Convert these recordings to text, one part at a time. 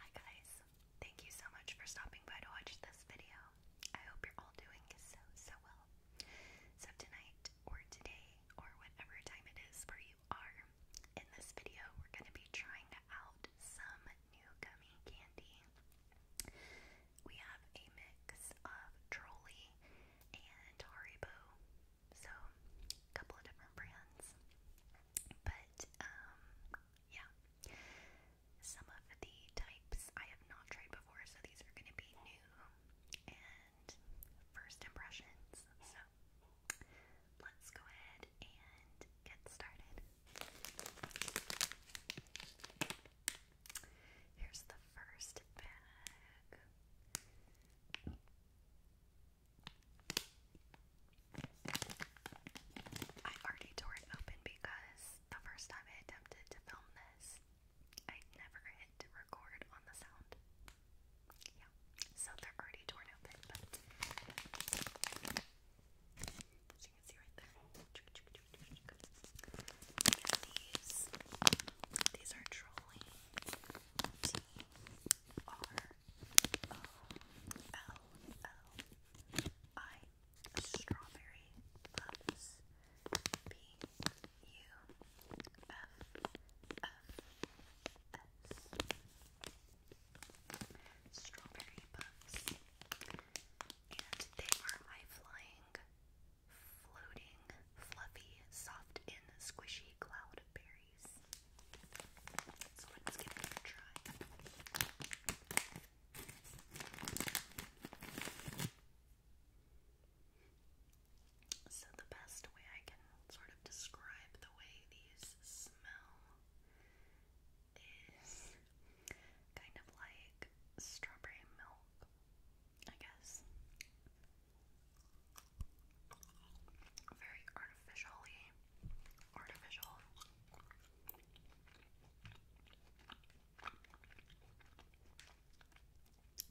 Hi guys, thank you so much for stopping by to watch this video. I hope you're all doing so, so well. So tonight, or today, or whatever time it is where you are, in this video we're going to be trying out some new gummy candy. We have a mix of Trolley and Haribo so, a couple of different brands. But, um, yeah. Some of the types I have not tried before, so these are going to be new and first impressions. So, let's go ahead and get started. Here's the first bag. I already tore it open because the first time I attempted to film this, I never hit record on the sound. Yeah, so they're already torn open, but as you can see right there. these, these are trolley R O L L I Strawberry Loves B U F F S Strawberry Puffs and they are high flying, floating, fluffy, soft, and squishy cloud berries. So the best way I can sort of describe the way these smell is kind of like strawberry milk, I guess very artificially artificial.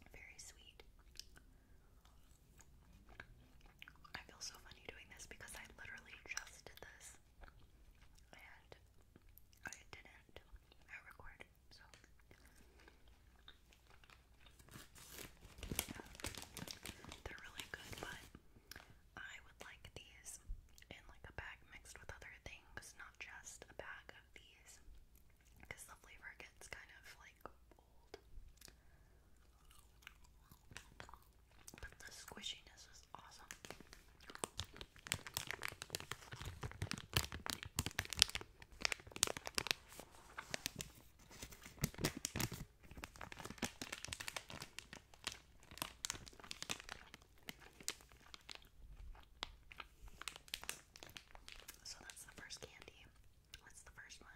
Very sweet. I feel so funny doing this because I literally just did this and I didn't. I recorded, they're really good, but I would like these in like a bag mixed with other things, not just a bag of these, because the flavor gets kind of like old. But the squishiness is awesome. So that's the first candy. What's the first one?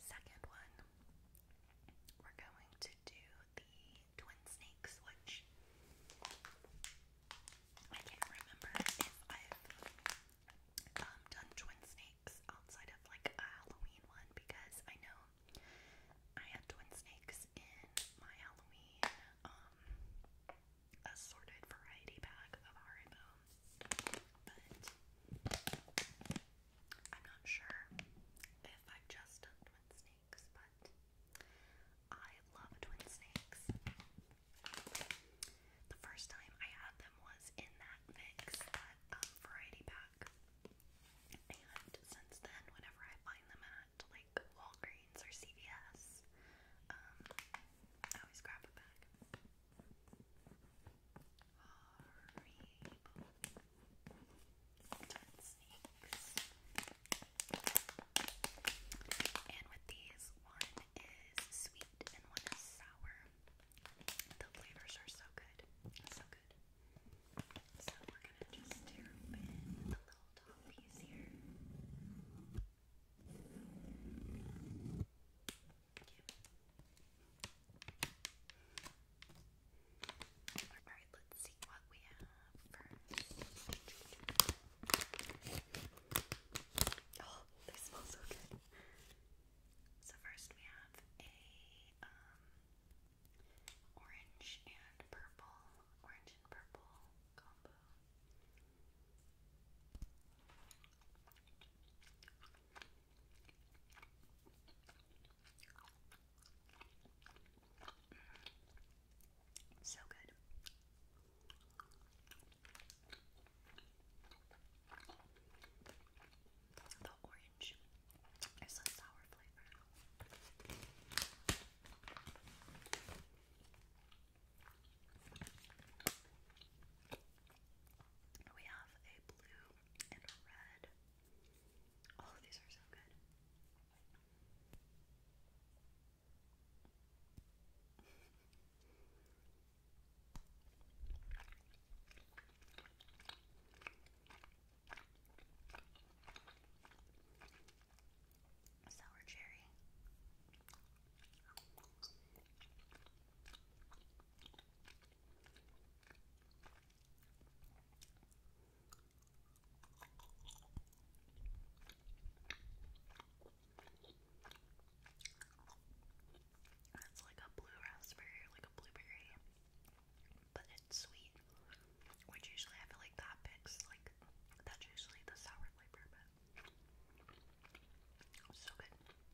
Second one, we're going to do the twin snakes, which I can't remember if I've um, done twin snakes outside of like a Halloween one because I know I had twin snakes in my Halloween um, assorted variety bag of Haribo, but I'm not sure if I've just done twin snakes, but I love twin snakes. The first time I had them was in that mix, that um, variety pack. And since then, whenever I find them at like Walgreens or CVS, um, I always grab a bag. And with these, one is sweet and one is sour. The flavors are so good. So good. So we're gonna just open the little top piece here. Alright, let's see what we have first. Oh, they smell so good. So first we have a um, orange and purple, orange and purple combo. Mm-hmm. So good. The orange is a sour flavor. We have a blue and a red. Oh, these are so good. Sour cherry. It's like a blue raspberry, like a blueberry, but it's sweet. Which usually I feel like that picks like that's usually the sour flavor, but so good. And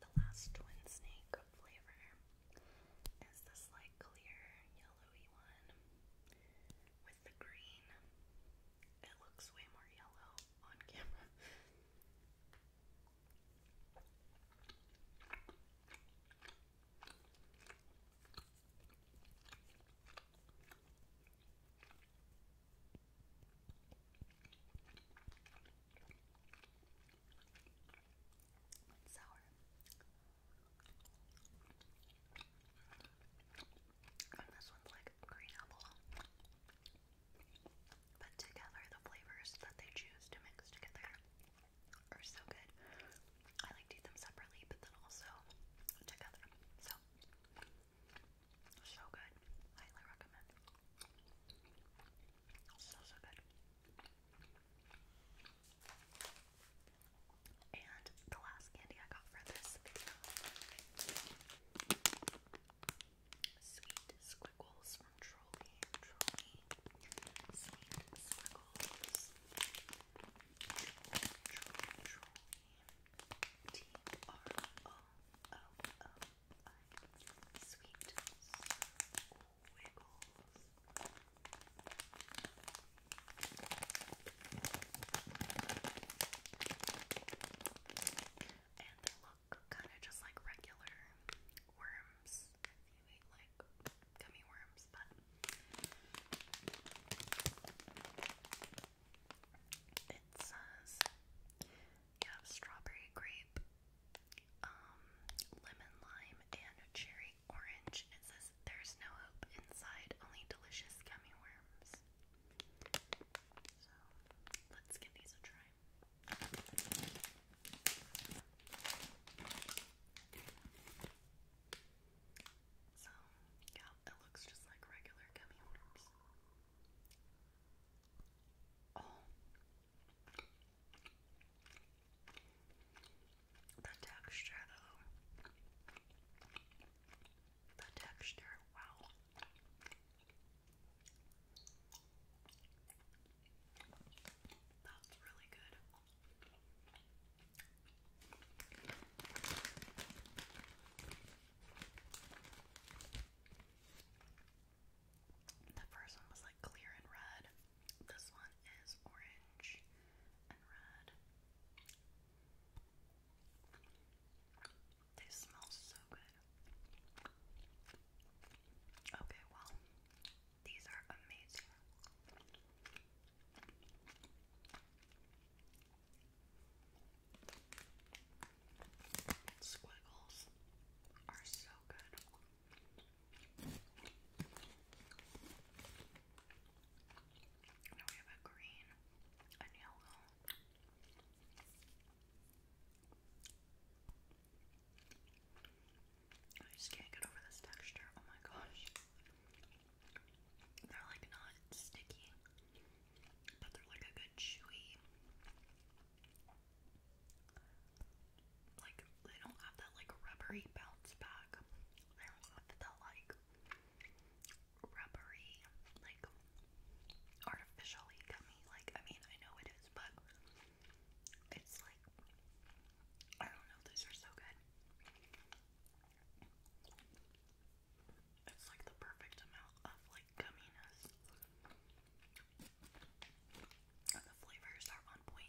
the last twin snake flavor is this like clear yellowy one with the green. It looks way more yellow on camera. It's sour. And this one's like green apple. But together, the flavors that they choose to mix together are so good. I like eat them separately, but then also together. So, so good. Highly recommend. So, so good. And the last candy I got for this Sweet Squiggles from Trolley. Trolley. Sweet Wiggles. And they look kind of just like regular worms. If you like gummy worms, but it says you have strawberry, grape, um, lemon lime, and cherry orange. It says there's no hope inside, only delicious gummy worms. So let's give these a try. So, yeah, it looks just like regular gummy worms. Oh, the texture though, the texture, wow. That's really good. The first one was like clear and red. This one is orange and red. They smell so good. Okay, well, these are amazing. Squiggles are so good. Now we have a green and yellow. I just can't get over this texture. Oh my gosh. They're like not sticky, but they're like a good chewy like they don't have that like rubbery bounce back. They don't have that like rubbery, like artificially gummy. Like I mean, I know it is, but it's like I don't know. These are so good. It's like the perfect amount of like like the flavors are on point.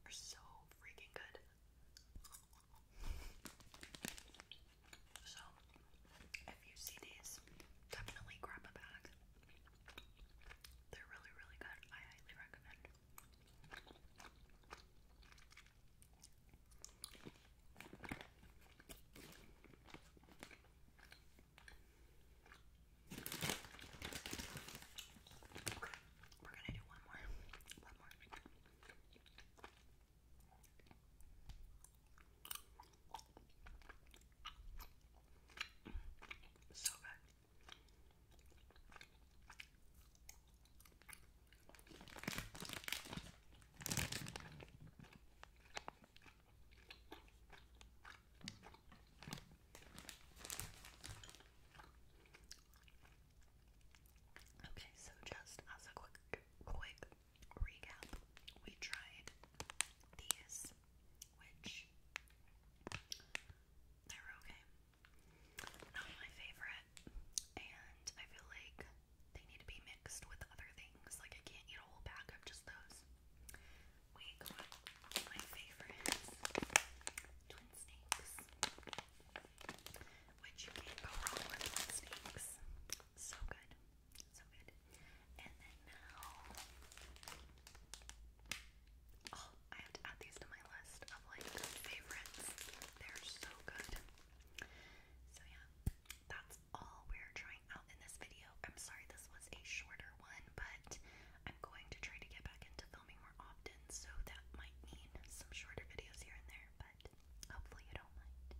They're so freaking good. So, if you see these, definitely grab a bag. They're really, really good. I highly recommend. Okay, we're gonna do one more. One more. So good. Okay, so just as a quick quick recap, we tried these, which they're okay. Not my favorite, and I feel like they need to be mixed with other things. Like I can't eat a whole bag of just those. We got my favorites, twin snakes, which you can't go wrong with snakes. So good, so good. And then now, oh, I have to add these to my list of like favorites. They're so good. So yeah, that's all we're trying out in this video. I'm sorry this was a shorter one, but I'm going to try to get back into filming more often, so that might mean some shorter videos here and there, but hopefully you don't mind.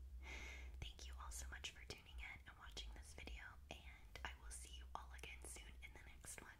Thank you all so much for tuning in and watching this video, and I will see you all again soon in the next one.